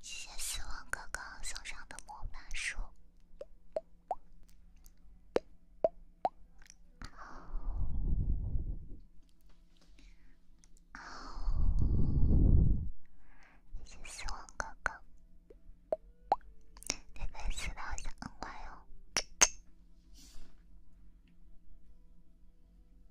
谢谢死亡哥哥送上的魔法书，好，好，谢谢死亡哥哥，别被死到吓坏哦。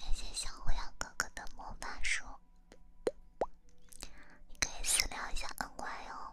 感谢小火药哥哥的魔法书，你可以私聊一下恩乖哦。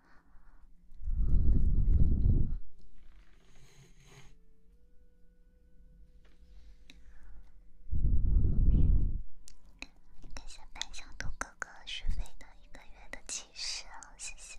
感谢白小兔哥哥续费的一个月的骑士啊，谢谢。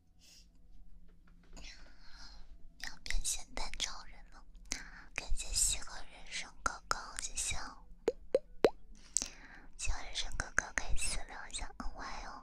要变咸蛋超人了！感谢喜欢人生哥哥，谢谢喜欢人生哥哥可以私聊一下，安慰哦。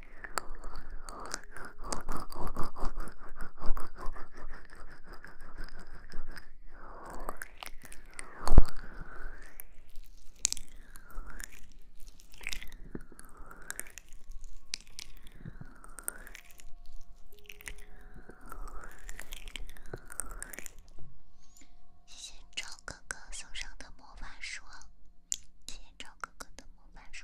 谢谢赵哥哥送上的魔法书，谢谢赵哥哥的魔法书。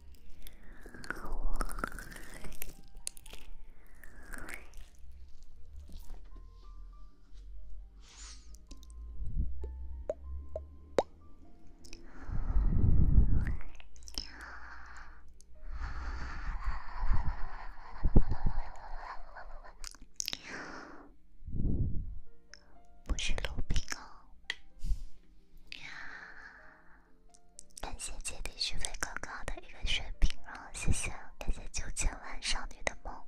不是录屏啊。感谢姐弟续费高高的一个血瓶哦，谢谢，感谢九千万少女的梦。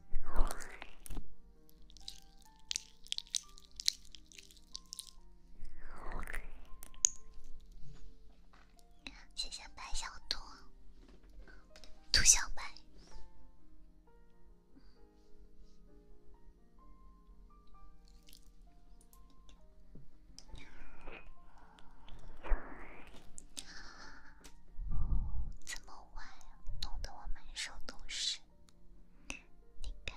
谢谢白小兔，兔小白。哦，这么晚，弄得我满手都是。你看。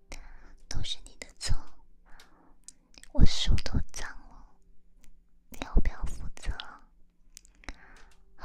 都是你的错，我手都脏了，你要不要负责？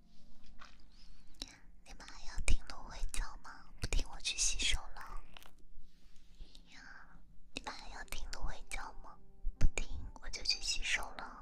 你们还要听芦苇叫吗？不听，我去洗手了。你们还要听芦苇叫吗？不听，我就去洗手了。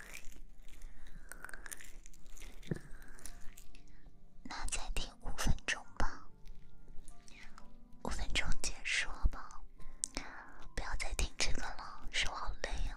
那再听五分钟吧，五分钟结束吧，不要再听这个了，手好累啊。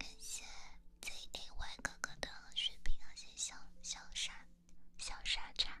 感谢 ZTY 哥哥的血瓶，那谢小、小傻、小傻叉。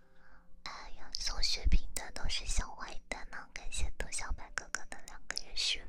哎呀，送血瓶的都是小坏蛋呢，感谢得小白哥哥的两个月续费。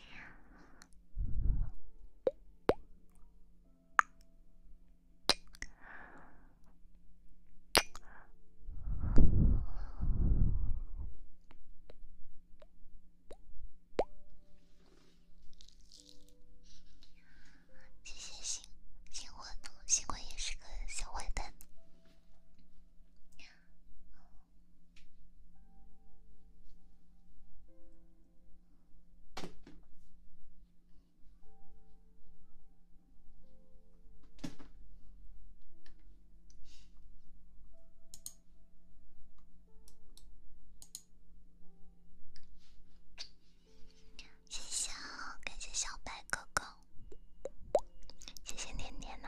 谢谢星星火，星火也是个小坏蛋。谢谢，感谢小白哥哥，谢谢点点呢。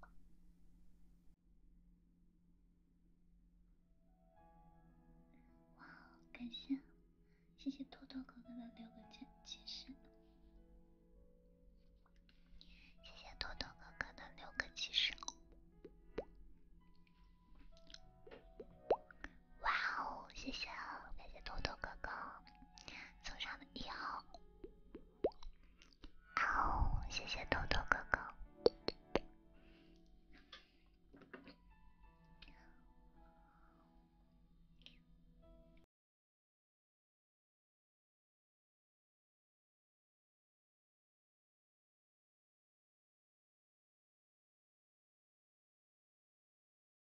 哇，感谢，谢谢托托哥哥的六个锦旗石，谢谢托托哥哥的六个锦石。哇哦，谢谢，感谢托托哥哥送上的一号。好，谢谢豆豆哥哥。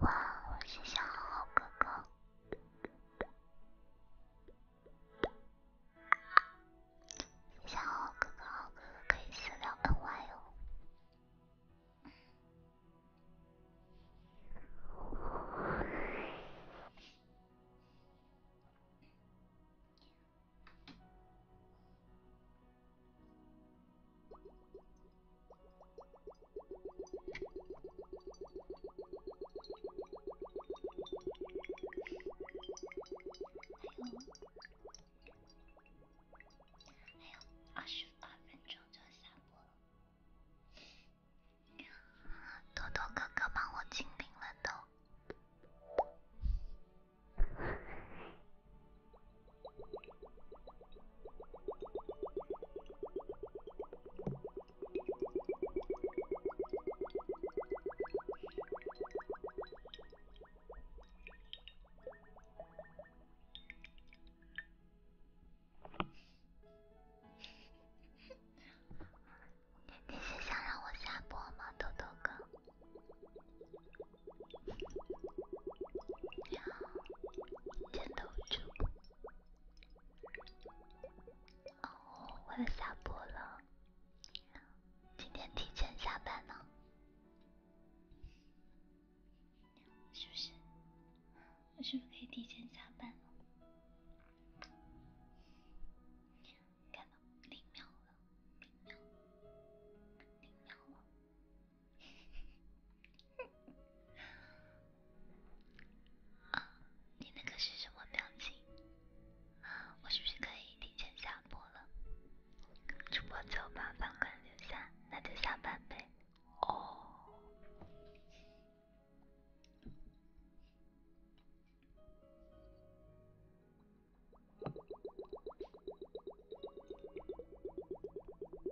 哇哦，谢谢浩浩哥哥！谢谢浩浩哥哥，浩哥哥可以私聊恩外哦。还有，还有二十八分钟就要下播了。多多哥哥帮我清屏了都。你是想让我下播吗，豆豆哥？哦，我要下播了，今天提前下班呢，是不是？我是不是可以提前下班了？看到零秒了，零秒，零秒了。你那个是什么表情？我是不是可以提前下播了？主播就把饭卡留下，那就下班呗。哦。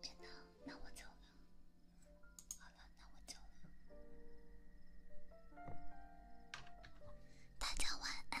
真的，那我走了。好了，那我走了。大家晚安。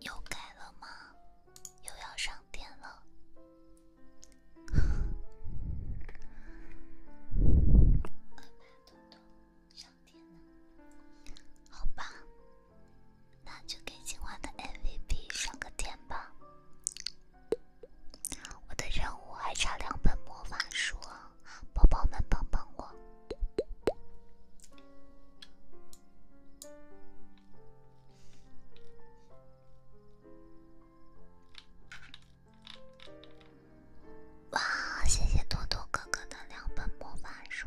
又改了吗？又要 上电了？好吧，那就给今晚的 MVP 上个电吧。我的任务还差两本魔法书，宝宝们帮帮我。哇！谢谢多多哥哥的两本魔法书。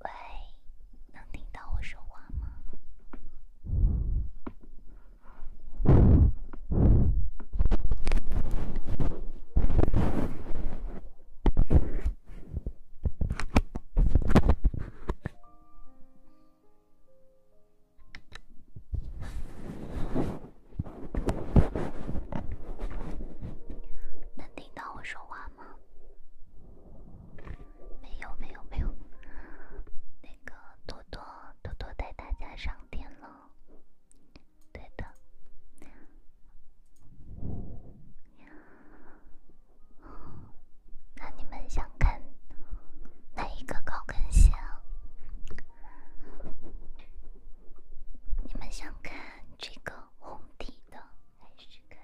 喂，能听到我说话吗？能听到我说话吗？没有没有没有，那个多多多多带大家上天了，对的。那你们想看哪一个高跟鞋啊？你们想看这个红底的，还是看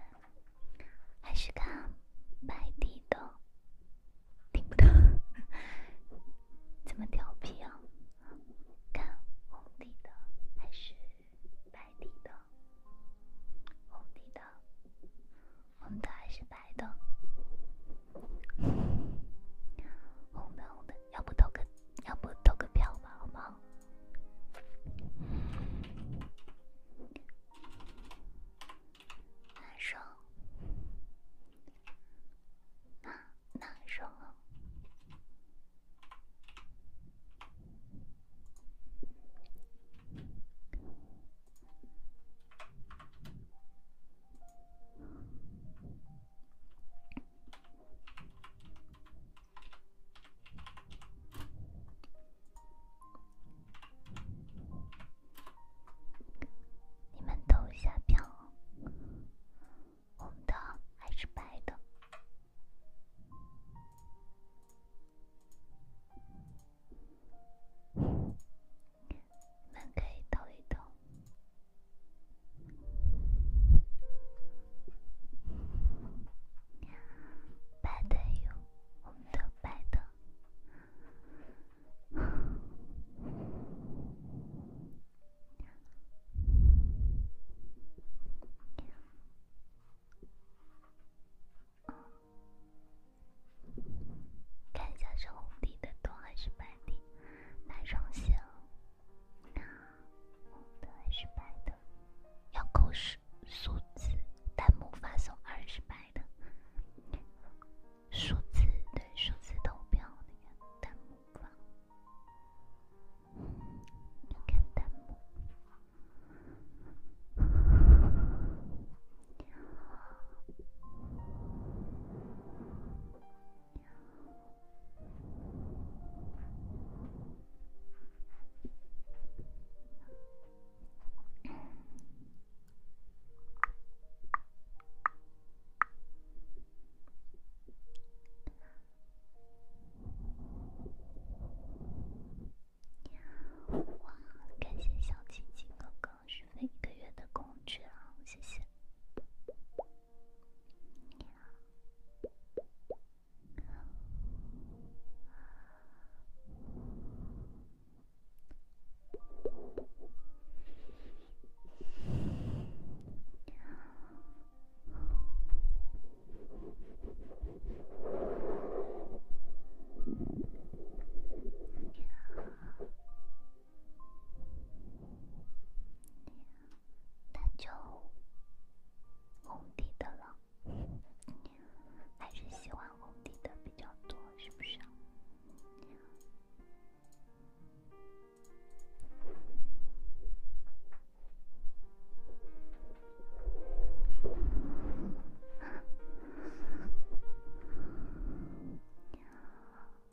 还是看白底的？听不到，怎么调皮啊？看红底的，还是白底的？红底的，红的还是白的？红的红的，要不投个，要不投个票吧，好不好？难受，啊，难受啊。你们投一下票，红的还是白的？你们可以投一投。白的有，红的、白的。嗯，看一下是红底的多还是白底？哪双鞋？那红的还是白的？要扣数数字，弹幕发送二十白的数字，对数字投票，弹幕。你看弹幕。哇，感谢小琪琪哥哥。是每个月的工资啊，谢谢。你好。那就红底的了，还是喜欢红底的比较多，是不是？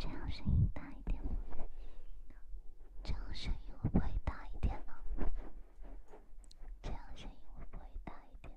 这样声音大一点吗？这样声音会不会大一点呢？这样声音会不会大一点？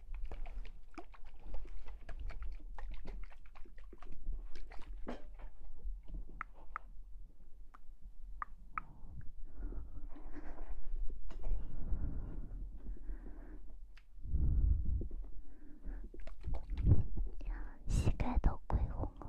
膝盖都跪红了。